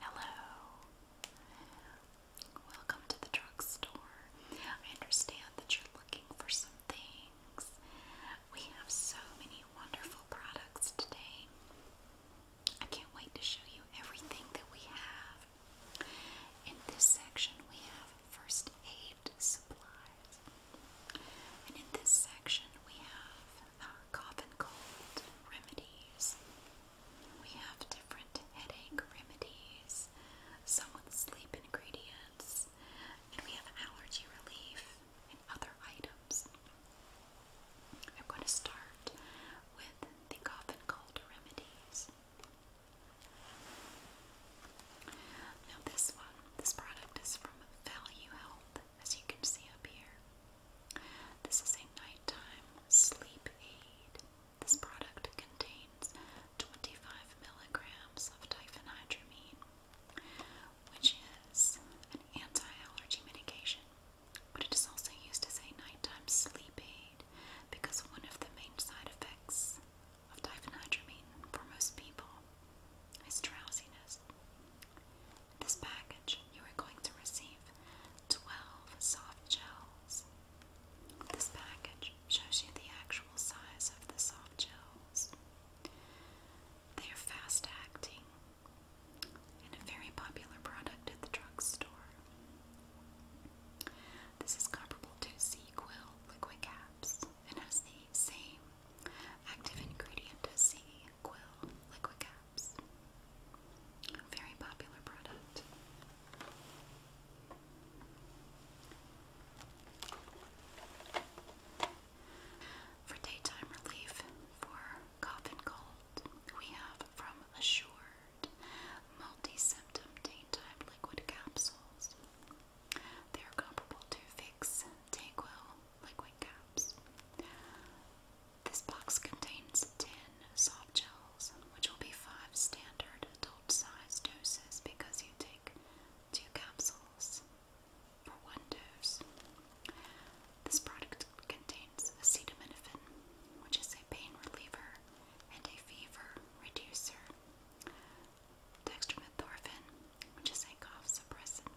Hello. Welcome to the drugstore. I understand that you're looking for some things. We have so many wonderful products today. I can't wait to show you everything that we have. In this section, we have first aid supplies. And in this section, we have cough and cold remedies. We have different headache remedies, some sleep ingredients, and we have allergy relief and other items. I'm going to start with the cough and cold remedies. Now, this one, this product is from Value Health, as you can see up here. This is a nighttime sleep aid. This product contains 25 milligrams of diphenhydramine, which is an anti-allergy medication, but it is also used as a nighttime sleep aid because one of the main side effects of diphenhydramine for most people is drowsiness this package, you are going to receive 12 soft gels. This package shows you the actual size of the soft gels. They are fast acting and a very popular product at the drugstore. This is comparable to Sequil liquid caps and has the same active ingredient as C, Quill liquid caps. Very popular product. For daytime relief for cough and cold, we have from Assured multi symptom daytime liquid capsules. They are comparable to Vicks, Dayquil, liquid caps. This box contains 10 soft gels, which will be 5 standard adult size doses because you take 2 capsules for 1 dose. This product contains acetaminophen, which is a pain reliever and a fever reducer, dextromethorphan, which is a cough suppressant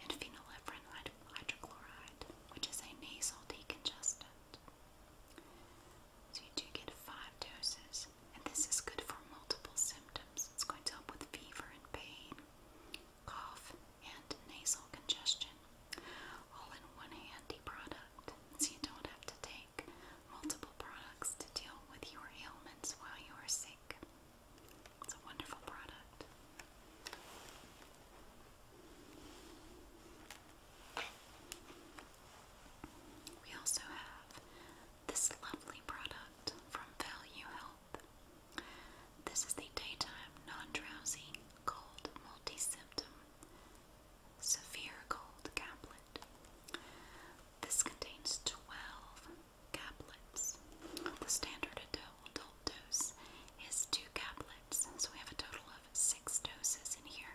and phenylephrine hydrochloride, which is a nasal decongestant. So you do get five doses, and this is good for multiple symptoms. It's going to help with fever and pain, cough, and nasal congestion. All in one handy product, so you don't have to take multiple products to deal with your ailments while you are sick. It's a wonderful product. We also have this lovely product from Value Health. This is the daytime non-drowsy cold multi-symptom severe cold caplet. This contains 12 caplets. The standard adult dose is two caplets, so we have a total of six doses in here.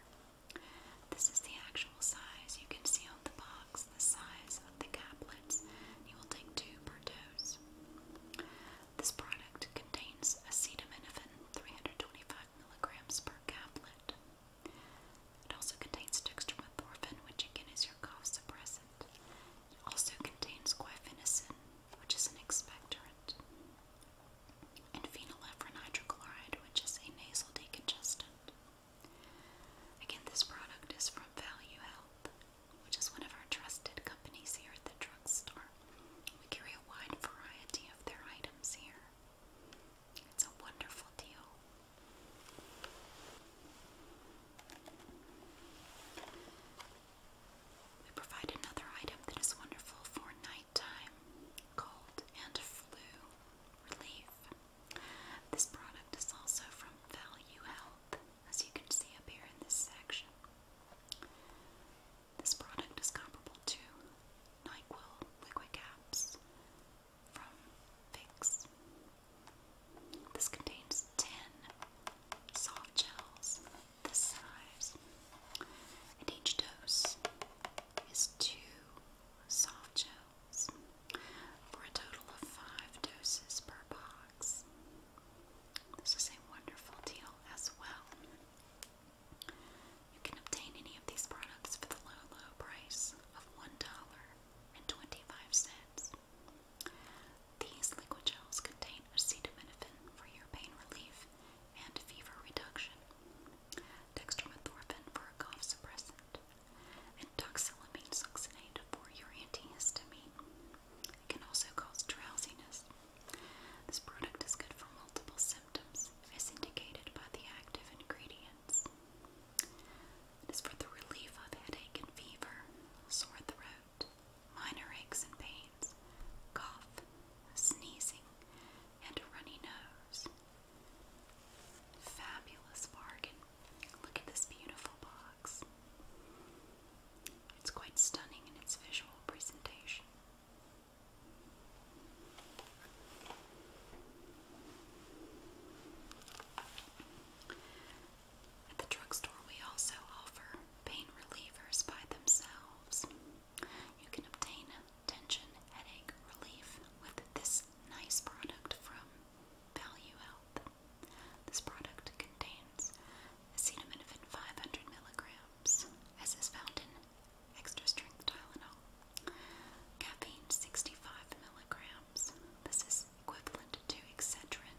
This is the actual size. You can see on the box the size of the caplets. You will take two per dose. This product contains acetaminophen 325 milligrams per caplet. It also contains dextromethorphan, which again is your cough suppressant, also contains guaifenesin, which is an expectorant, and phenylephrine hydrochloride, which is a nasal decongestant. Again, this product is from Value Health, which is one of our trusted companies here at the drugstore. We carry a wide variety of their items here. It's a wonderful deal. We provide another item that is wonderful for nighttime, cold, and flu relief. This product is also from Value Health, as you can see up here in this section. This product is comparable to NyQuil liquid caps from Vicks. This contains 10 soft gels this size, and each dose is two soft gels for a total of five doses per box. This is a wonderful deal as well. You can obtain any of these products for the low, low price of $1.25. These liquid gels contain acetaminophen for your pain relief and fever reduction, dextromethorphan for a cough suppressant, and doxylamine succinate for your antihistamine. It can also cause drowsiness. This product is good for multiple symptoms as indicated by the active ingredients. It is for the relief of headache and fever, sore throat, minor aches and pains, cough, sneezing, and a runny nose. Fabulous bargain. Look at this beautiful box. It's quite stunning in its visual presentation. At the drugstore, we also offer pain relievers by themselves. You can obtain tension headache relief with this nice product from Value Health. This product contains acetaminophen 500 milligrams, as is found in extra strength Tylenol, caffeine 65 milligrams. This is equivalent to Excedrin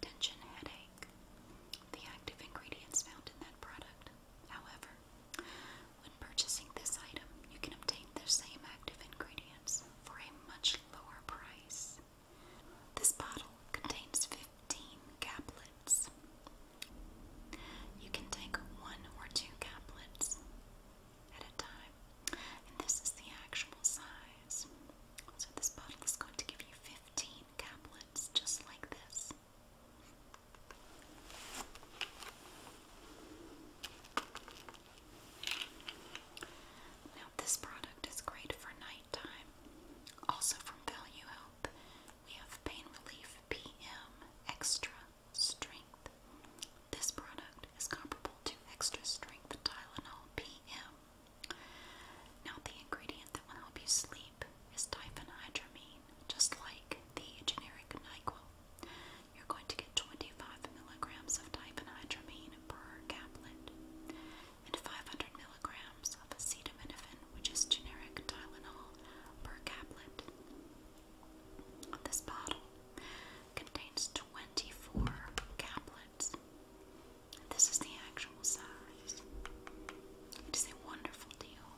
tension headache, the active ingredients found in that product. However, when purchasing this item, you can obtain the same active ingredients for a much lower price. This bottle contains 15 caplets. You can take one or two caplets at a time, and this is the actual size. So this bottle is going to give you 15 caplets, just like this. Now this product is great for nighttime. Also from Value Health, we have Pain Relief PM Extra Strength. This product is comparable to Extra Strength Tylenol PM. Now, the ingredient that will help you sleep is diphenhydramine, just like the generic NyQuil. You're going to get 25 milligrams of diphenhydramine per caplet and 500 milligrams of acetaminophen, which is generic Tylenol, per caplet. This bottle contains 24 caplets. This is the actual size. It is a wonderful deal.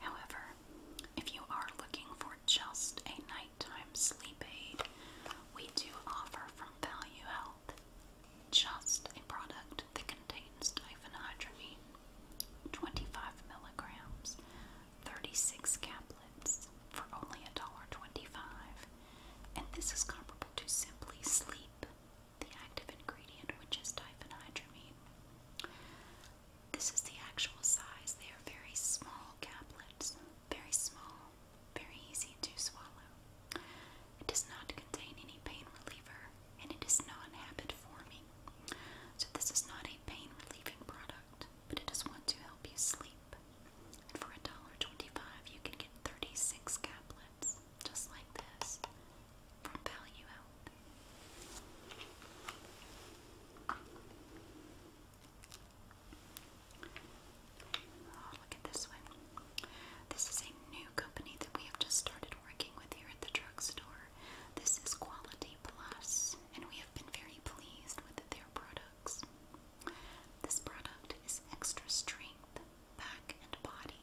However, if you are looking for just a nighttime sleep aid, we do offer from Value Health just a product that contains diphenhydramine, 25 milligrams 36 caplets for only $1.25, and this is comparable to Simply Sleep, the active ingredient, which is diphenhydramine. This is the actual size. They are very small caplets, very small, very easy to swallow. It does not contain any pain reliever and it is not habit forming. So, this is not a pain relieving product but just want to help you sleep. And for $1.25, you can get 36 caplets, just like this, from Value Out. Oh, look at this one. This is a new company that we have just started working with here at the drugstore. This is Quality Plus, and we have been very pleased with their products. This product is Extra Strength Back and Body.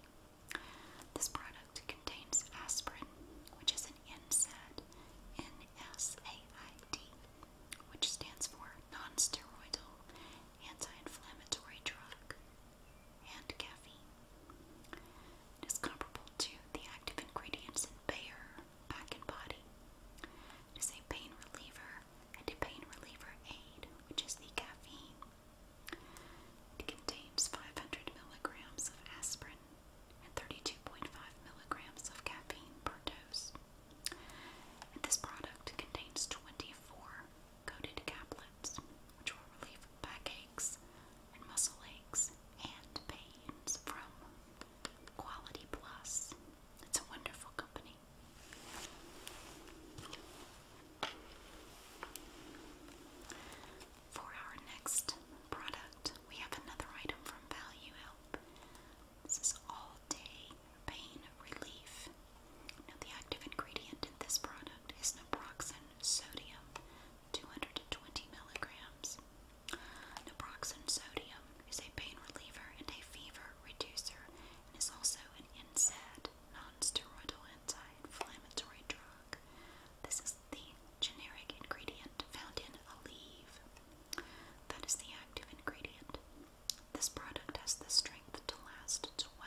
This product contains aspirin, which is an NSAID, which stands for nonsteroidal anti-inflammatory drug, and caffeine. It is comparable to the active ingredients in Bayer back and body. It is a pain reliever and a pain reliever aid, which is the caffeine. It contains 500 milligrams of aspirin and 32.5 milligrams of caffeine per dose. this product contains 24 coated caplets, which will relieve backaches and muscle aches and pains from Quality Plus. It's a wonderful company. For our next product, we have another item from Value This is all day pain relief. Now, the active ingredient in this product is naproxen sodium, 220 milligrams. Naproxen sodium is a pain reliever and a fever reducer and is also an NSAID, non-steroidal anti-inflammatory drug. This is the generic ingredient found in Aleve. That is the active ingredient. This product has the strength to last 12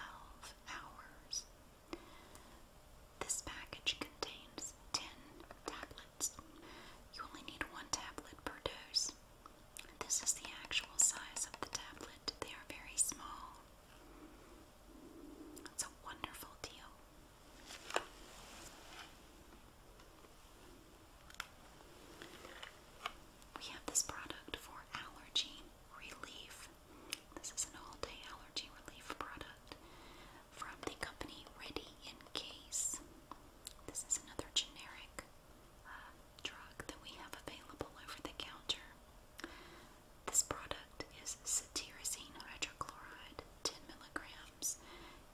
hours. This package contains 10 tablets. You only need one tablet per dose. This is the actual size of the tablet. They are very small. It's a wonderful deal. We have this product for allergy relief. This is an all day allergy relief product from the company Ready in Case. This is another generic uh, drug that we have available over the counter. This product is cetirizine hydrochloride, 10 milligrams,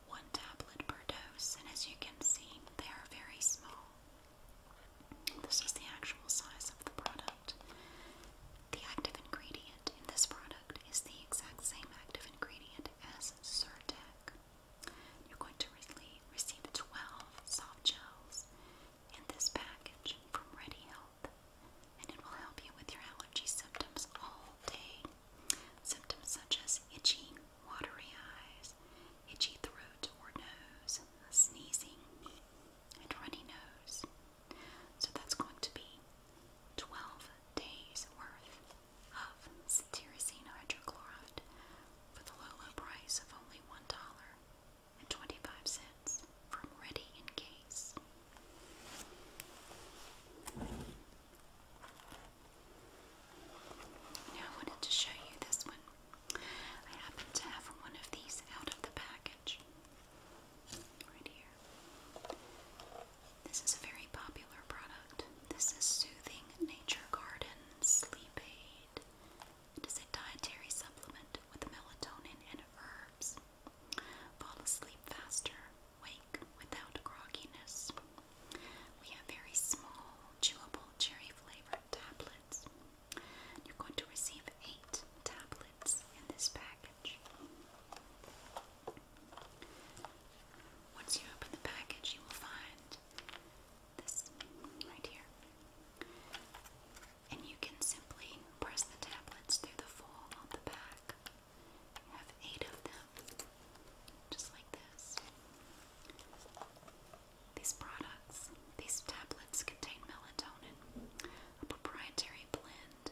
one tablet per dose, and as you can see, they are very small. This is the actual size of the product. The active ingredient in this product is the exact same active ingredient as Zyrtec. You're going to receive 12 soft gels in this package from Ready Health, and it will help you with your allergy symptoms all day. Symptoms such as itchy, watery eyes, itchy throat or nose, sneezing, and runny nose. So that's going to be 12 days worth of cetirizine hydrochloride for the low, low price of only $1.25 from Ready in Case. Now I wanted to show you this one. I happen to have one of these out of the package. Right here. This is a very popular product. This is Soothing Nature Garden Sleep Aid. It is a dietary supplement with melatonin and herbs. Fall asleep faster, wake without grogginess. We have very small, chewable, cherry flavored tablets. You're going to receive eight tablets in this package. Once you open the package, you will find this right here. And you can simply press the tablets through the fold on the back. You have eight of them, just like this. These products, these tablets contain melatonin, a proprietary blend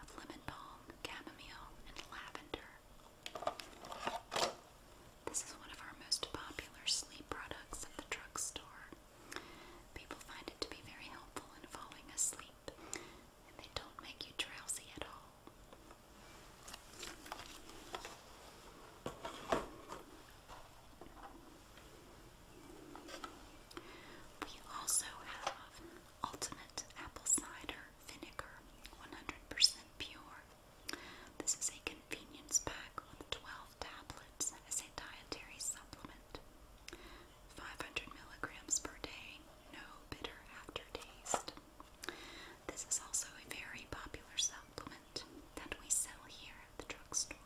of lemon balm, chamomile, and lavender. This is one of our most popular sleep products at the drugstore. People find it to be very helpful in falling asleep, and they don't make you drowsy at all. We also have Ultimate Apple Cider Vinegar, 100% pure. This is a convenience pack with 12 tablets as a dietary supplement. 500 milligrams per day, no bitter aftertaste. This is also a very popular supplement that we sell here at the drugstore.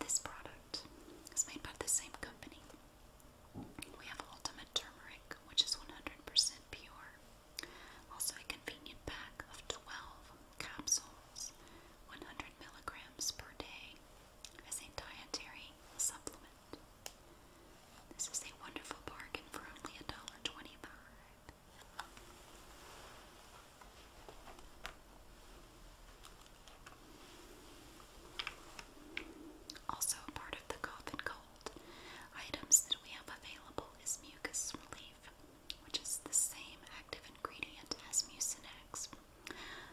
This product is made by the same company. We have Ultimate Turmeric, which is 100% pure. Also, a convenient pack of 12 capsules, 100 milligrams per day, as a dietary supplement. This is a wonderful bargain for only $1.25. Also, a part of the cough and cold items that we have available is mucus relief, which is the same active ingredient as Mucinex.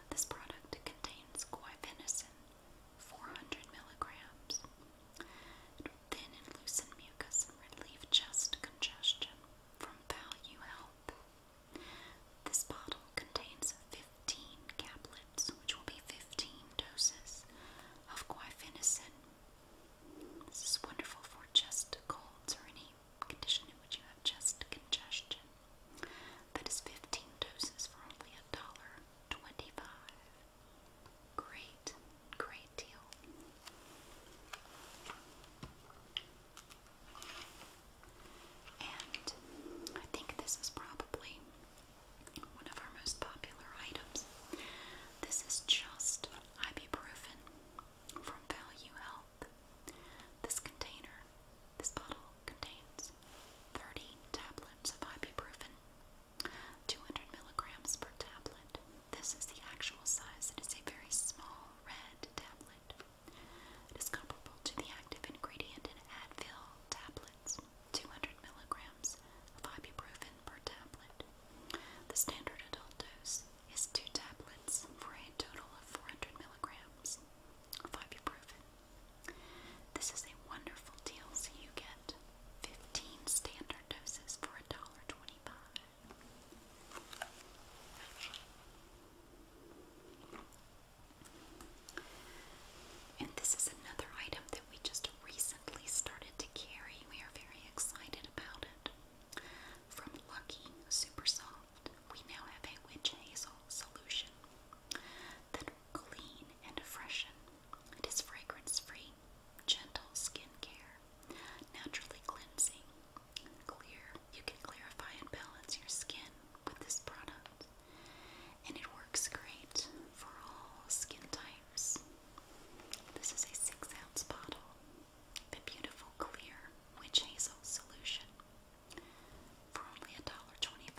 This product contains guai 400 milligrams. It thin and loosen mucus and relieve chest congestion from value health. This bottle contains 15 caplets, which will be 15 doses of quinine. This is wonderful for chest colds or any condition in which you have chest congestion. That is 15 doses for only a dollar 25. Great, great deal. And I think this is probably one of our most popular items. This is just ibuprofen from Value Health. This container, this bottle contains 30 tablets of ibuprofen, 200 milligrams per tablet. This is the actual size. It is a very small red tablet. It is comparable to the active ingredient in Advil tablets, 200 milligrams of ibuprofen per tablet. The standard adult dose is two tablets for a total of 400 milligrams of ibuprofen. This is a wonderful deal, so you get 15 standard doses for a dollar twenty-five. And this is another item that we just recently started to carry. We are very excited about it. From Lucky Super Soft, we now have a witch hazel solution that will and freshen. It is fragrance free, gentle skincare, naturally cleansing, clear. You can clarify and balance your skin with this product and it works great for all skin types. This is a six ounce bottle, the beautiful clear witch hazel solution, for only $1.25.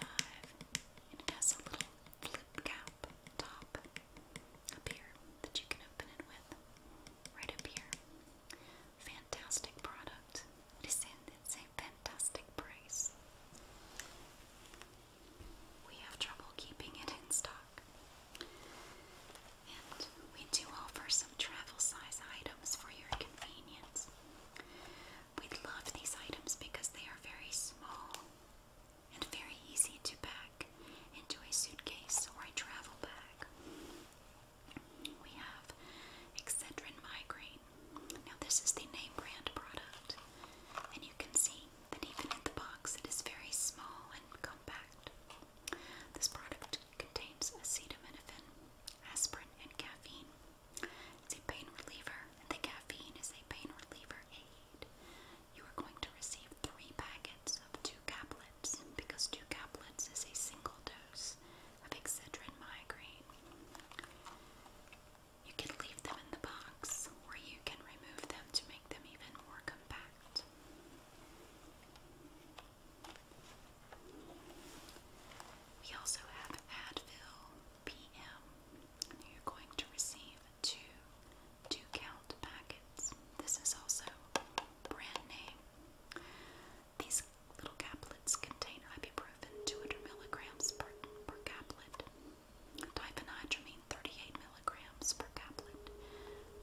And it has a little flip cap top up here that you can open it with, right up here. Fantastic product. It is in same fantastic price. We have trouble keeping it in stock. And we do offer some travel size items for your convenience. We love these items because they are very small and very easy to pack into a suitcase or a travel bag. We have Excedrin migraine now, this is the name brand product, and you can see that even in the box, it is very small and compact. This product contains acetaminophen, aspirin, and caffeine. It's a pain reliever, and the caffeine is a pain reliever aid. You are going to receive three packets of two caplets because two caplets is a single dose of Excedrin migraine. You can leave them in the box or you can remove them to make them even more compact. We also have Advil PM, you're going to receive two two count packets. This is also brand name. These Little caplets contain ibuprofen 200 milligrams per, caplet, diphenhydramine 38 milligrams per caplet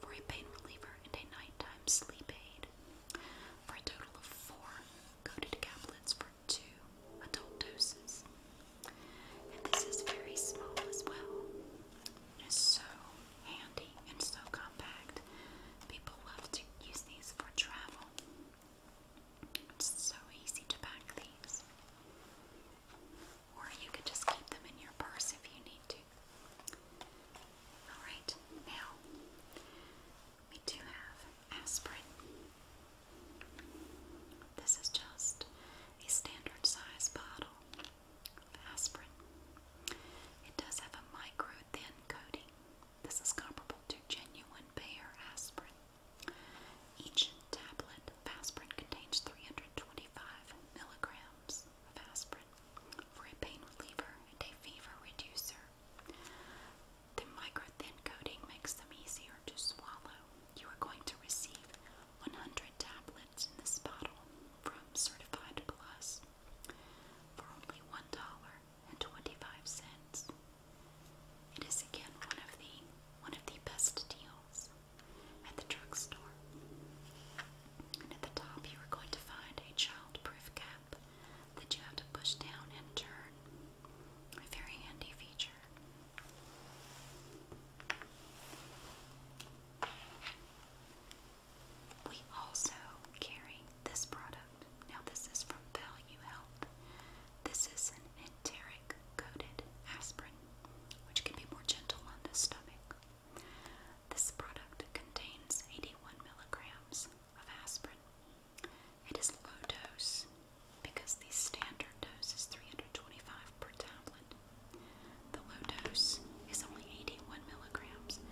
for a pain reliever and a nighttime sleep aid. For a total of four coated caplets for two adult doses. And this is very small as well. It is so handy and so compact. People love to use these for travel. It's so easy to pack these. Or you could just keep them in your purse if you need to. Alright, now we do have aspirin. This is just a standard size bottle of aspirin. It does have a micro thin coating. This is comparable to genuine Bayer aspirin. Each tablet of contains 325 milligrams of aspirin for a pain reliever and a fever reducer. The micro-thin coating makes them easier to swallow. You are going to receive 100 tablets in this bottle from Certified Plus for only $1 and twenty-five cents. It is again one of the one of the best deals at the drugstore. And at the top you are going to find a child cap that you have to push down and turn. A very handy feature. We also carry this product. Now this is from Value Health. This is an enteric coated aspirin, which can be more gentle on the stomach. This product contains 81 milligrams of aspirin. It is low dose because the standard dose is 325 per tablet. The low dose is only 81 milligrams,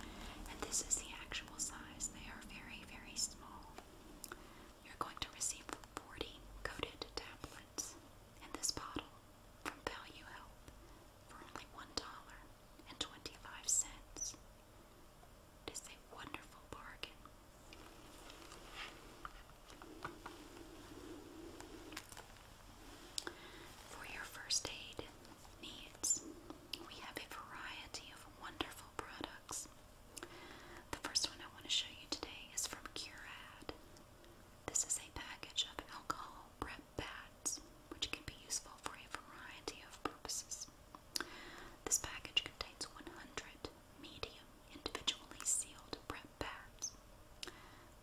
and this is the actual size. They are very, very small. You're going to receive 40 coated tablets in this bottle from Value Health for only $1.25. It is a wonderful bargain. For your first aid needs, we have a variety of wonderful products. The first one I want to show you today is from Curad. This is a package of alcohol prep pads, which can be useful for a variety of purposes. This package contains 100 medium, individually sealed prep pads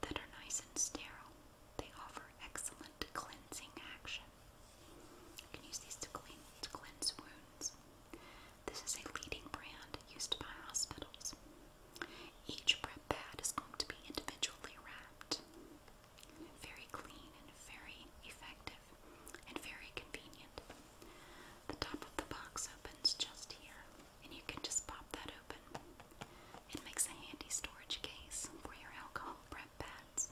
that are nice and sterile. They offer excellent cleansing action. You can use these to clean to cleanse wounds, this is a leading brand used by hospitals. Each prep pad is going to be individually wrapped. Very clean and very effective and very convenient. The top of the box opens just here, and you can just pop that open. It makes a handy storage case for your alcohol prep pads.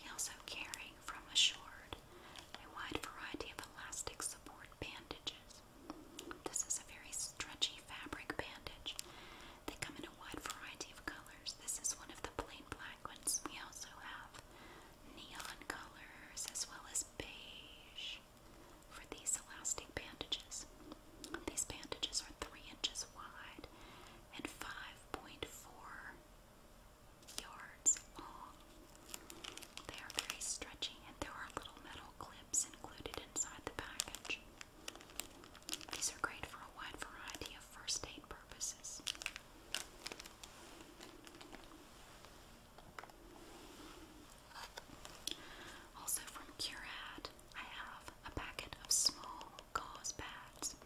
We also carry from Assured a wide variety of elastic support bandages. This is a very stretchy fabric bandage. They come in a wide variety of colors. This is one of the plain black ones. We also have neon colors as well as beige for these elastic bandages. These bandages are 3 inches wide and 5.4 yards long. They are very stretchy and there are little metal clips included inside the package. These are great for a wide variety of first aid purposes. Also from Curad, I have a packet of small gauze pads,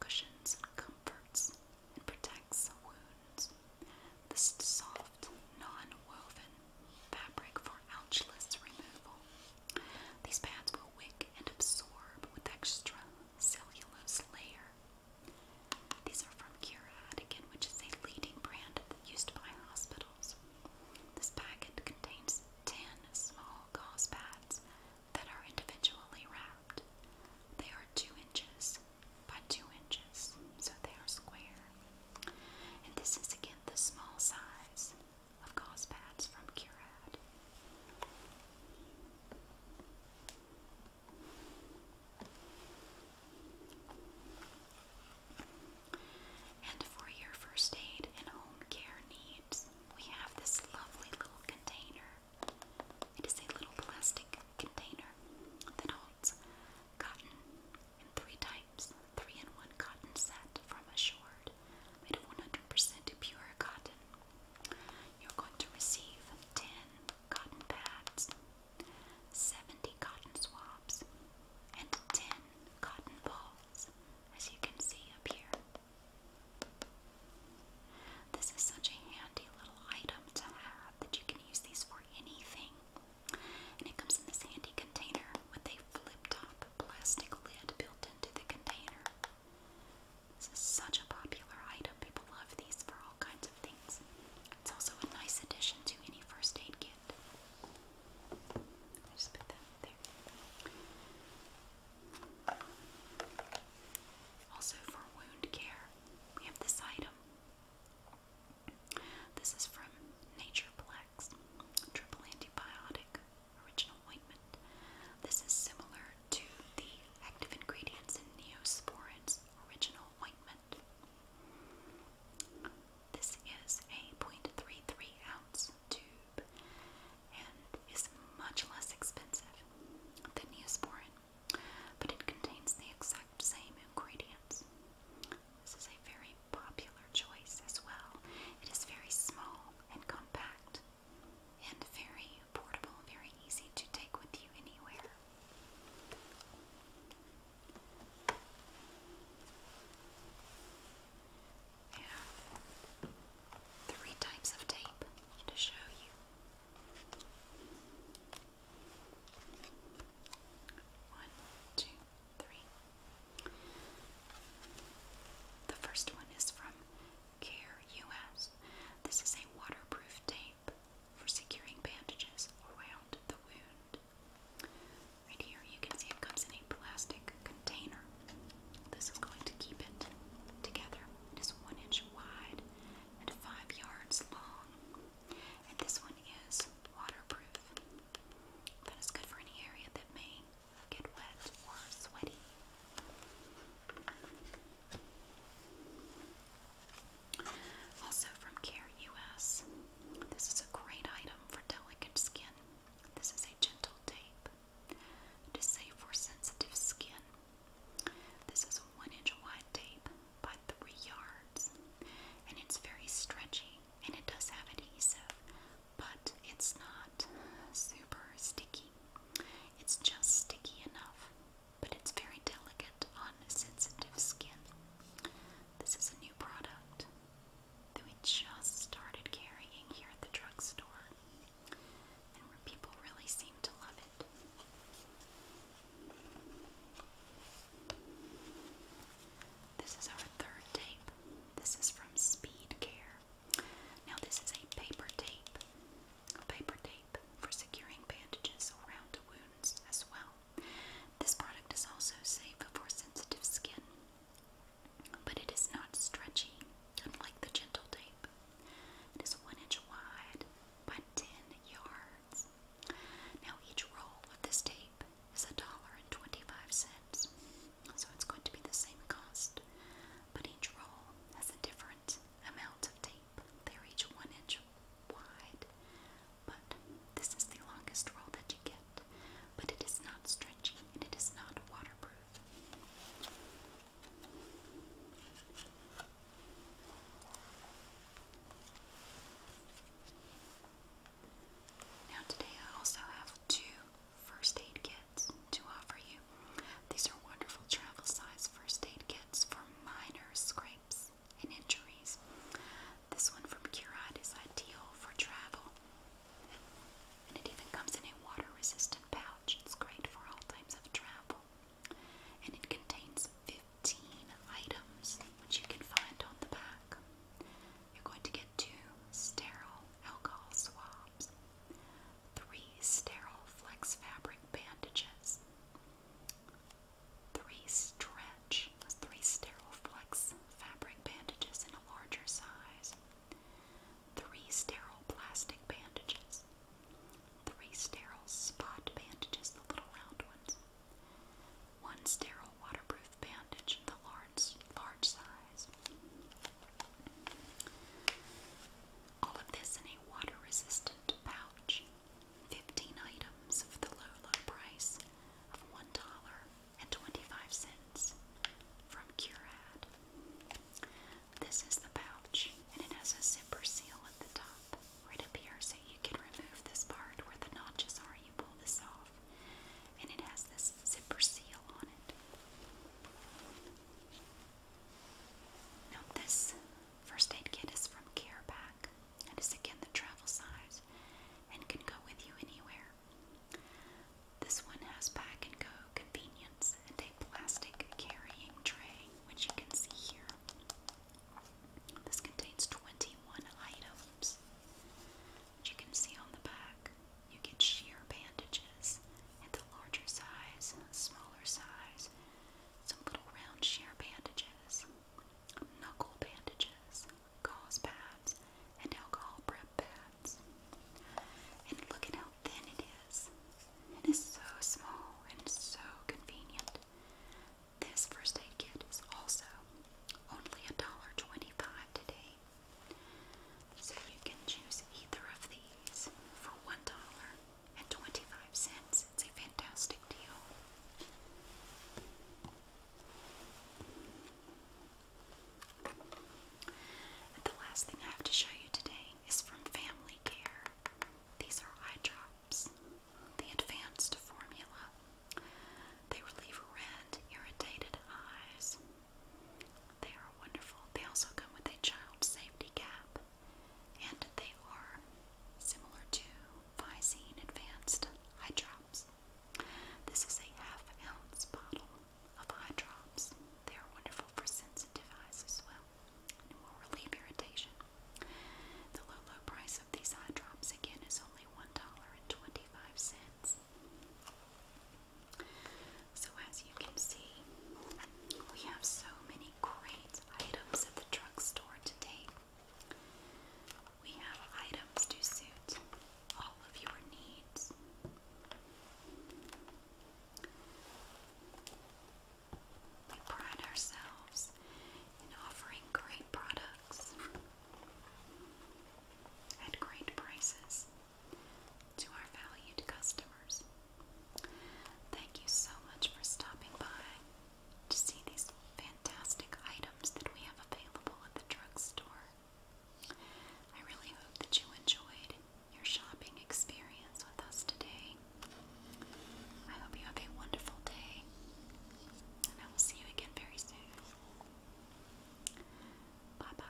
cushions and comforts, and protects wounds. This soft, non-woven fabric for ouchless removal. These pads will wick and absorb with extra cellulose layer these are from Curad again, which is a leading brand used by hospitals. This packet contains 10 small gauze pads that are individually wrapped. They are 2 inches by 2 inches, so they are square. And this is again the small size of gauze pads from Curad. And for your first aid and home care needs, we have this lovely little container. It is a little plastic container that holds cotton in three types, three in one cotton set from Assured, made of 100% pure cotton. You're going to receive 10 cotton pads 70 cotton swabs, and 10 cotton balls, as you can see up here. This is such a handy little item to have that you can use these for anything. And it comes in this handy container with a flip top plastic lid built into the container. This is such a popular item. People love these for all kinds of things. It's also a nice addition to any first aid kit. just put that there. Also, for wound care, we have this item. This is from Natureplex Triple Antibiotic Original Ointment. This is similar to the active ingredients in Neosporin's Original Ointment. This is a 0.33 ounce tube and is much less expensive than Neosporin, but it contains the exact same ingredients. This is a very popular choice as well. It is very small and compact and very portable, very easy to take with you anywhere. I three types of tape to show you. One, two, three. The first one is from Care US. This is a waterproof tape for securing bandages around the wound. Right here, you can see it comes in a plastic container. This is going to keep it together. It is one inch wide and five yards long. And this one is waterproof. That is good for any area that may get wet or sweaty. Also from Care US, this is a great item for delicate skin. This is a gentle tape. It is safe for sensitive skin. This is a 1 inch wide tape by 3 yards, and it's very stretchy and it does have adhesive, but it's not super sticky. It's just sticky enough but it's very delicate on sensitive skin. This is a new product that we just started carrying here at the drugstore, and people really seem to love it. This is our third tape. This is from Speed Care. Now, this is a paper tape, a paper tape for securing bandages around wounds as well. This product is also safe for sensitive skin, but it is not stretchy, unlike the Gentle Tape. It is 1 inch wide by 10 yards. Now, each roll of this tape is $1.25, so it's going to be the same cost, but each roll has a different amount of tape deep. They reach one inch wide, but this is the longest roll that you get. But it is not stretchy and it is not waterproof. Now, today I also have two first aid kits to offer you. These are wonderful travel size first aid kits for minor scrapes and injuries. This one from Curide is ideal for travel. And it even comes in a water resistant pouch. It's great for all types of travel. And it contains 15 items, which you can find on the back. You're going to get two sterile alcohol swabs, three sterile flex fabric bandages, three stretch, three sterile flex fabric bandages in a larger size, three sterile plastic bandages, three sterile spot bandages, the little round ones, one sterile waterproof bandage, the large, large size. All of this in a water resistant pouch. 15 items for the low, price of $1.25 from Curad. This is the pouch, and it has a zipper seal at the top where it appears you can remove this part where the notches are. You pull this off, and it has this zipper seal on it. Now, this first aid kit is from Careback. That is again the travel size and can go with you anywhere. This one has pack and go convenience and a plastic carrying tray, which you can see here. This contains 21 items. Which you can see on the back. You get sheer bandages and the larger size, smaller size, some little round sheer bandages knuckle bandages, gauze pads, and alcohol prep pads. And look at how thin it is. It is so small and so convenient. This first aid kit is also only $1.25 today. So you can choose either of these for $1.25 it's a fantastic deal. the last thing I have to show you today is from Family Care. These are eye drops, the advanced formula. They relieve red, irritated eyes. They are wonderful. They also come with a child safety cap, and they are similar to Visine Advanced Eye Drops. This is a half ounce bottle of eye drops. They are wonderful for sensitive eyes as well and will relieve irritation. The low, low price of these eye drops again is only $1.25. So, as you can see, we have so many great items at the drugstore today. We have items to suit all of your needs. We pride ourselves in offering great products at great prices to our valued customers. Thank you so much for stopping by to see these fantastic items that we have available at the drugstore. I really hope that you enjoyed your shopping experience with us today. I hope you have a wonderful day, and I will see you again very soon. Bye bye.